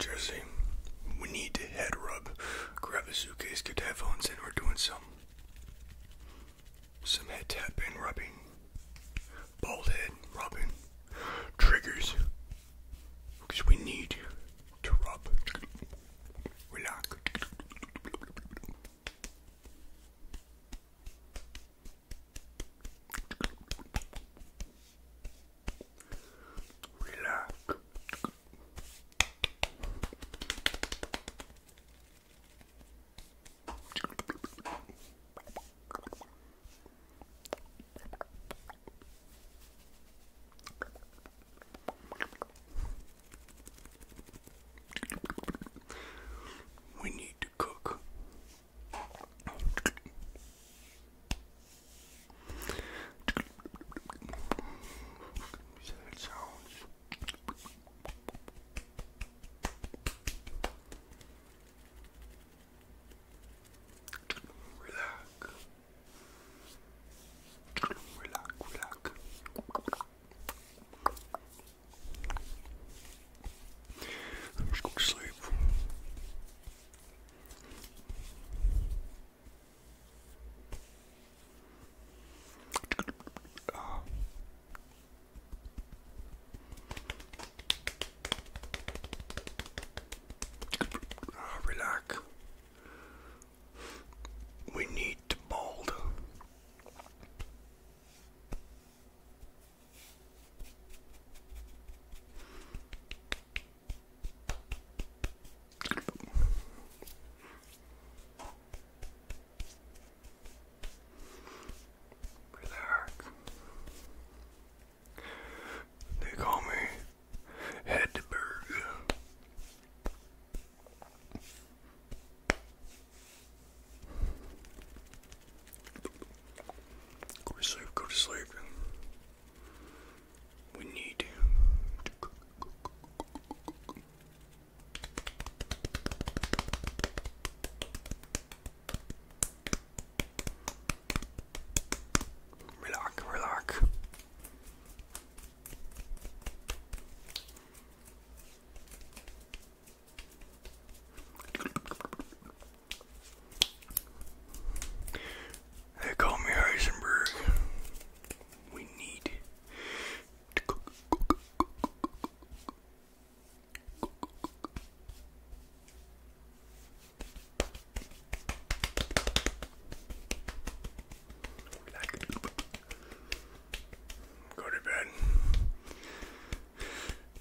Jersey, we need to head rub. Grab a suitcase, get headphones, and we're doing some some head tap and rubbing, bald head rubbing, triggers, because we need to rub, relax. Relax. We need to cook how it sounds. Relax. Relax, relax. I'm just going to sleep. Ah, relax. We need to mold. Relax. They call me Hedberg. Go to sleep, go to sleep. We need to cook, they call me Heisenberg. We need to cook, Go to bed.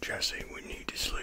Jesse, we need to sleep.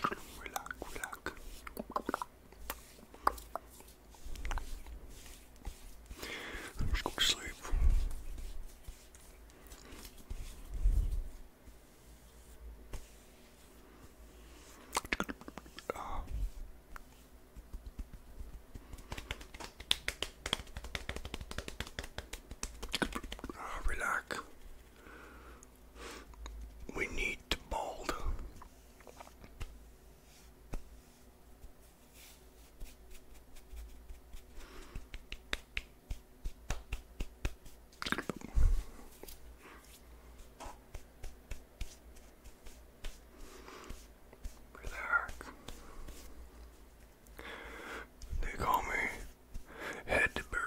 Relax, relax. Let's go to sleep. Uh. relax. We need to Relax. They call me Hedberg.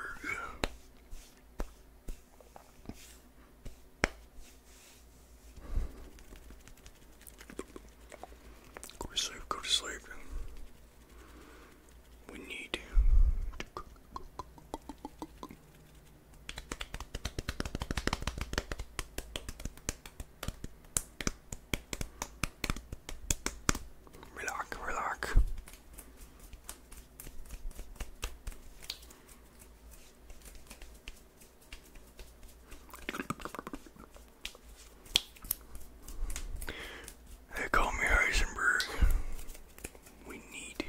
Go to sleep, go to sleep. We need Relax, relax. They call me Heisenberg. We need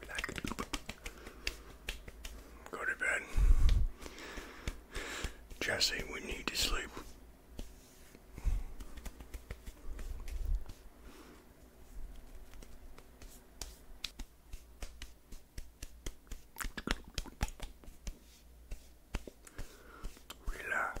Relax. Go to bed. Jesse, we need to sleep. Relax.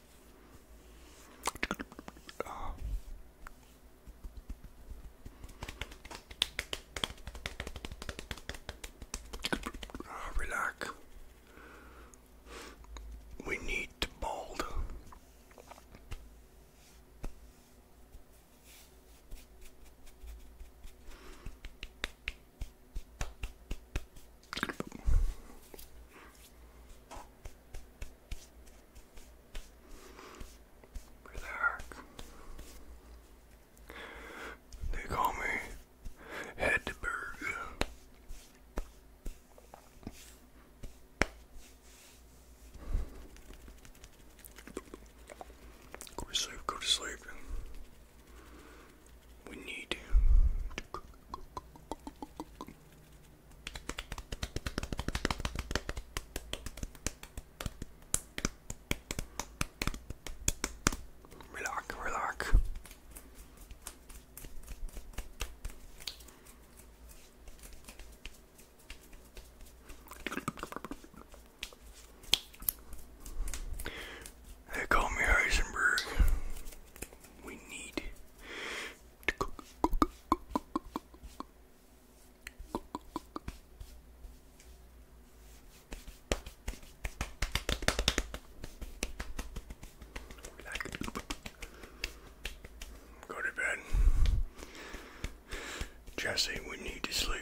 Uh. relax. We need to mold. Relax. They call me Hedberg. Go to sleep, go to sleep. We need to Relax, relax. They call me Heisenberg. We need Go to bed. Jesse, we need to sleep.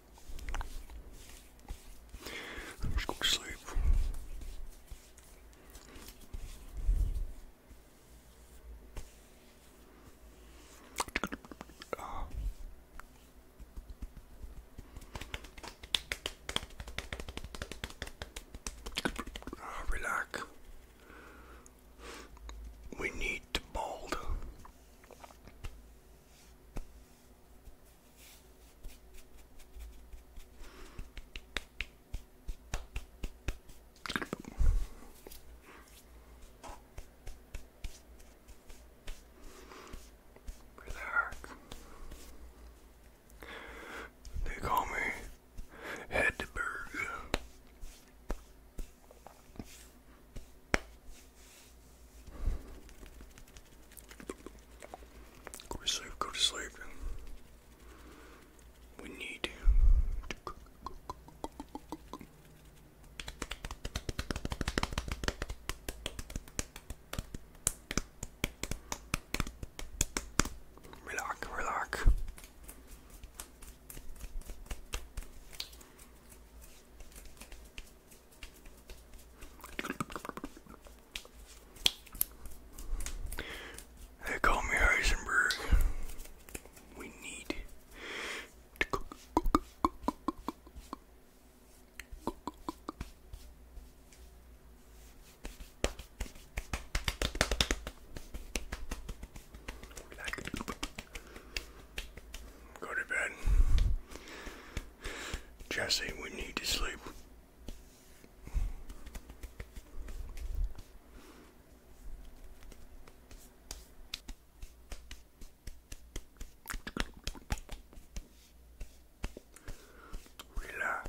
Let's go to sleep. Uh. relax. We need to bold. Where They call me Hedberg. Go to sleep, go to sleep. We need to cook, they call me Heisenberg. We need Go to bed. Jesse, we need to sleep. Relax.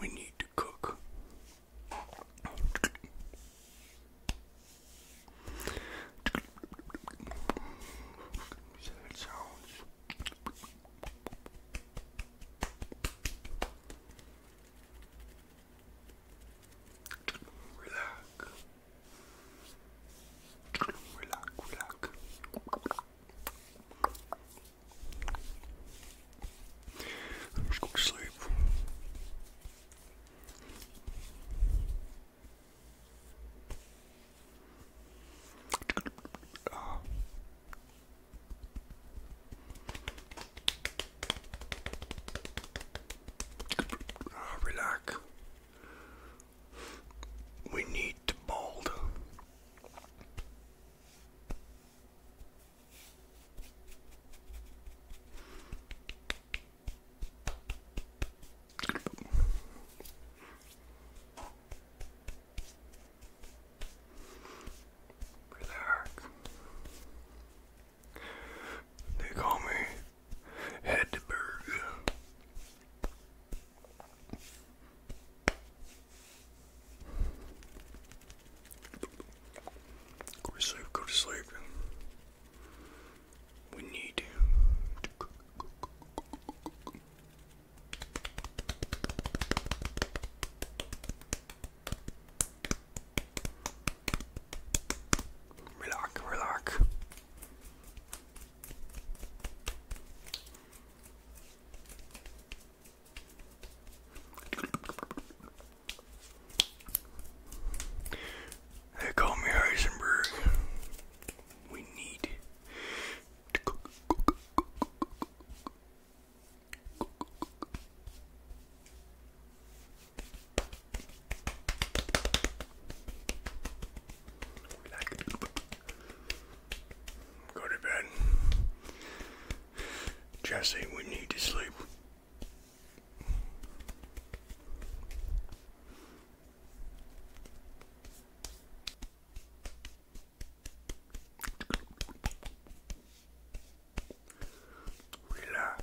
We need to cook. So it sounds. Relax. Relax, relax. I'm just going to sleep. Ah. Ah, relax. We need to mold. Relax. They call me Hedberg. Go to sleep, go to sleep. We need Relock, relock. They call me Heisenberg. We need to cook, cook, cook, cook, cook, Relax. Go to bed. Jesse, we need to sleep. Relax.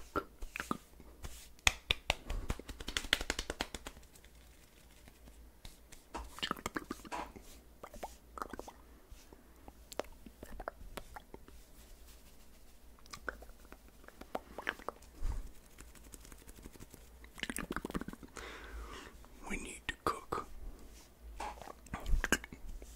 We need to cook.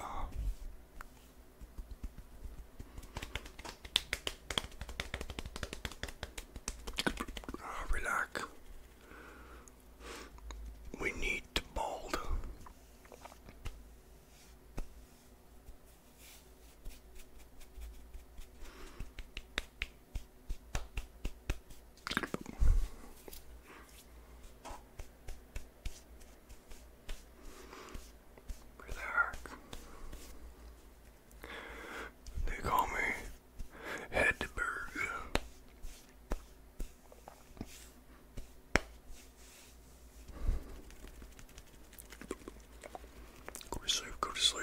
Ah, relax. We need to bold. Relax. They call me Hedberg. Go to sleep, go to sleep.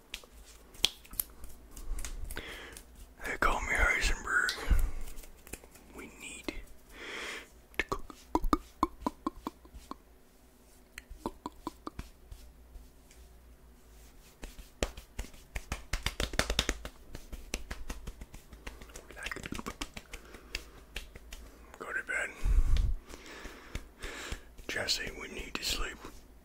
They call me Heisenberg. We need to go to bed. Jesse, we need to sleep.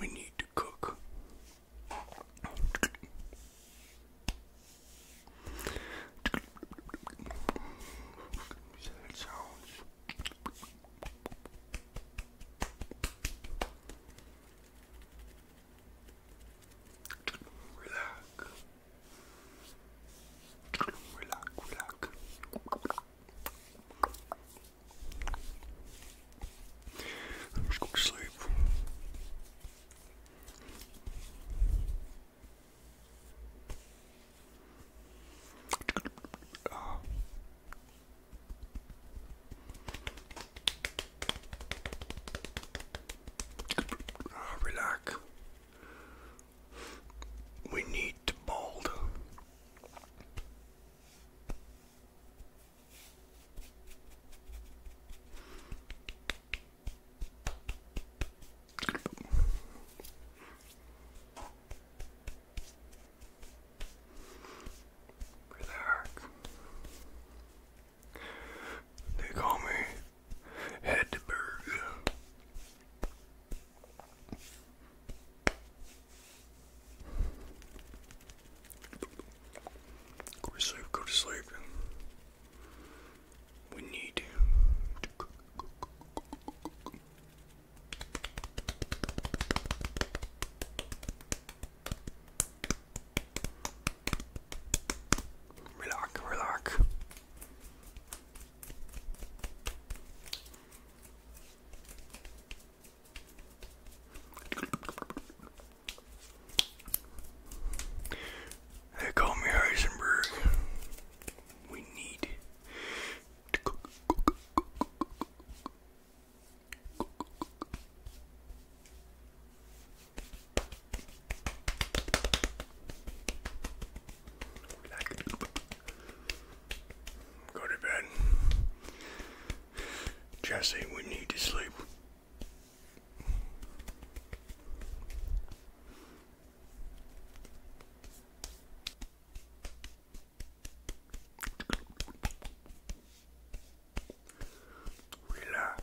We need to cook. sounds. Relax. Relax, relax. I'm just going to sleep. Oh. Oh, relax. We need to bold. Relax. They call me Hedberg. Go to sleep, go to sleep. We need to cook, Relax, relax. They call me Heisenberg. We need to cook, cook, cook, cook, cook, cook, cook. Relax. Go to bed. Jesse, we need to sleep. Relax.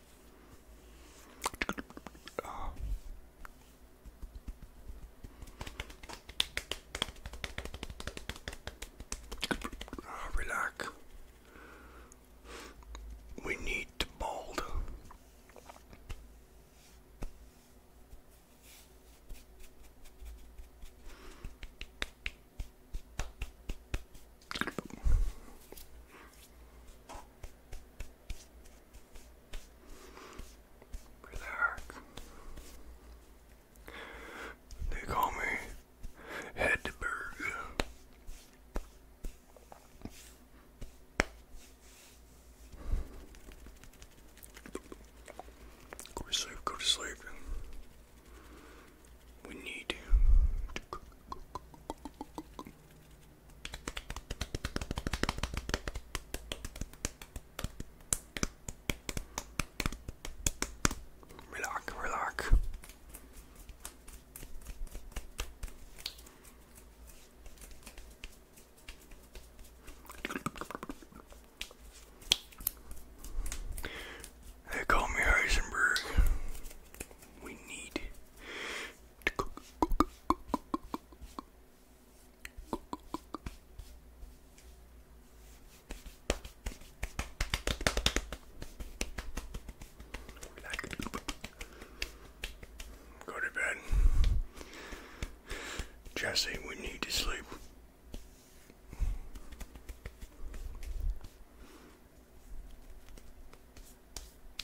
Ah, relax. We need to mold. Relax. They call me Hedberg. Go to sleep, go to sleep. We need Relax, relax. They call me Heisenberg. We need Relax. Go to bed. Jesse, we need to sleep.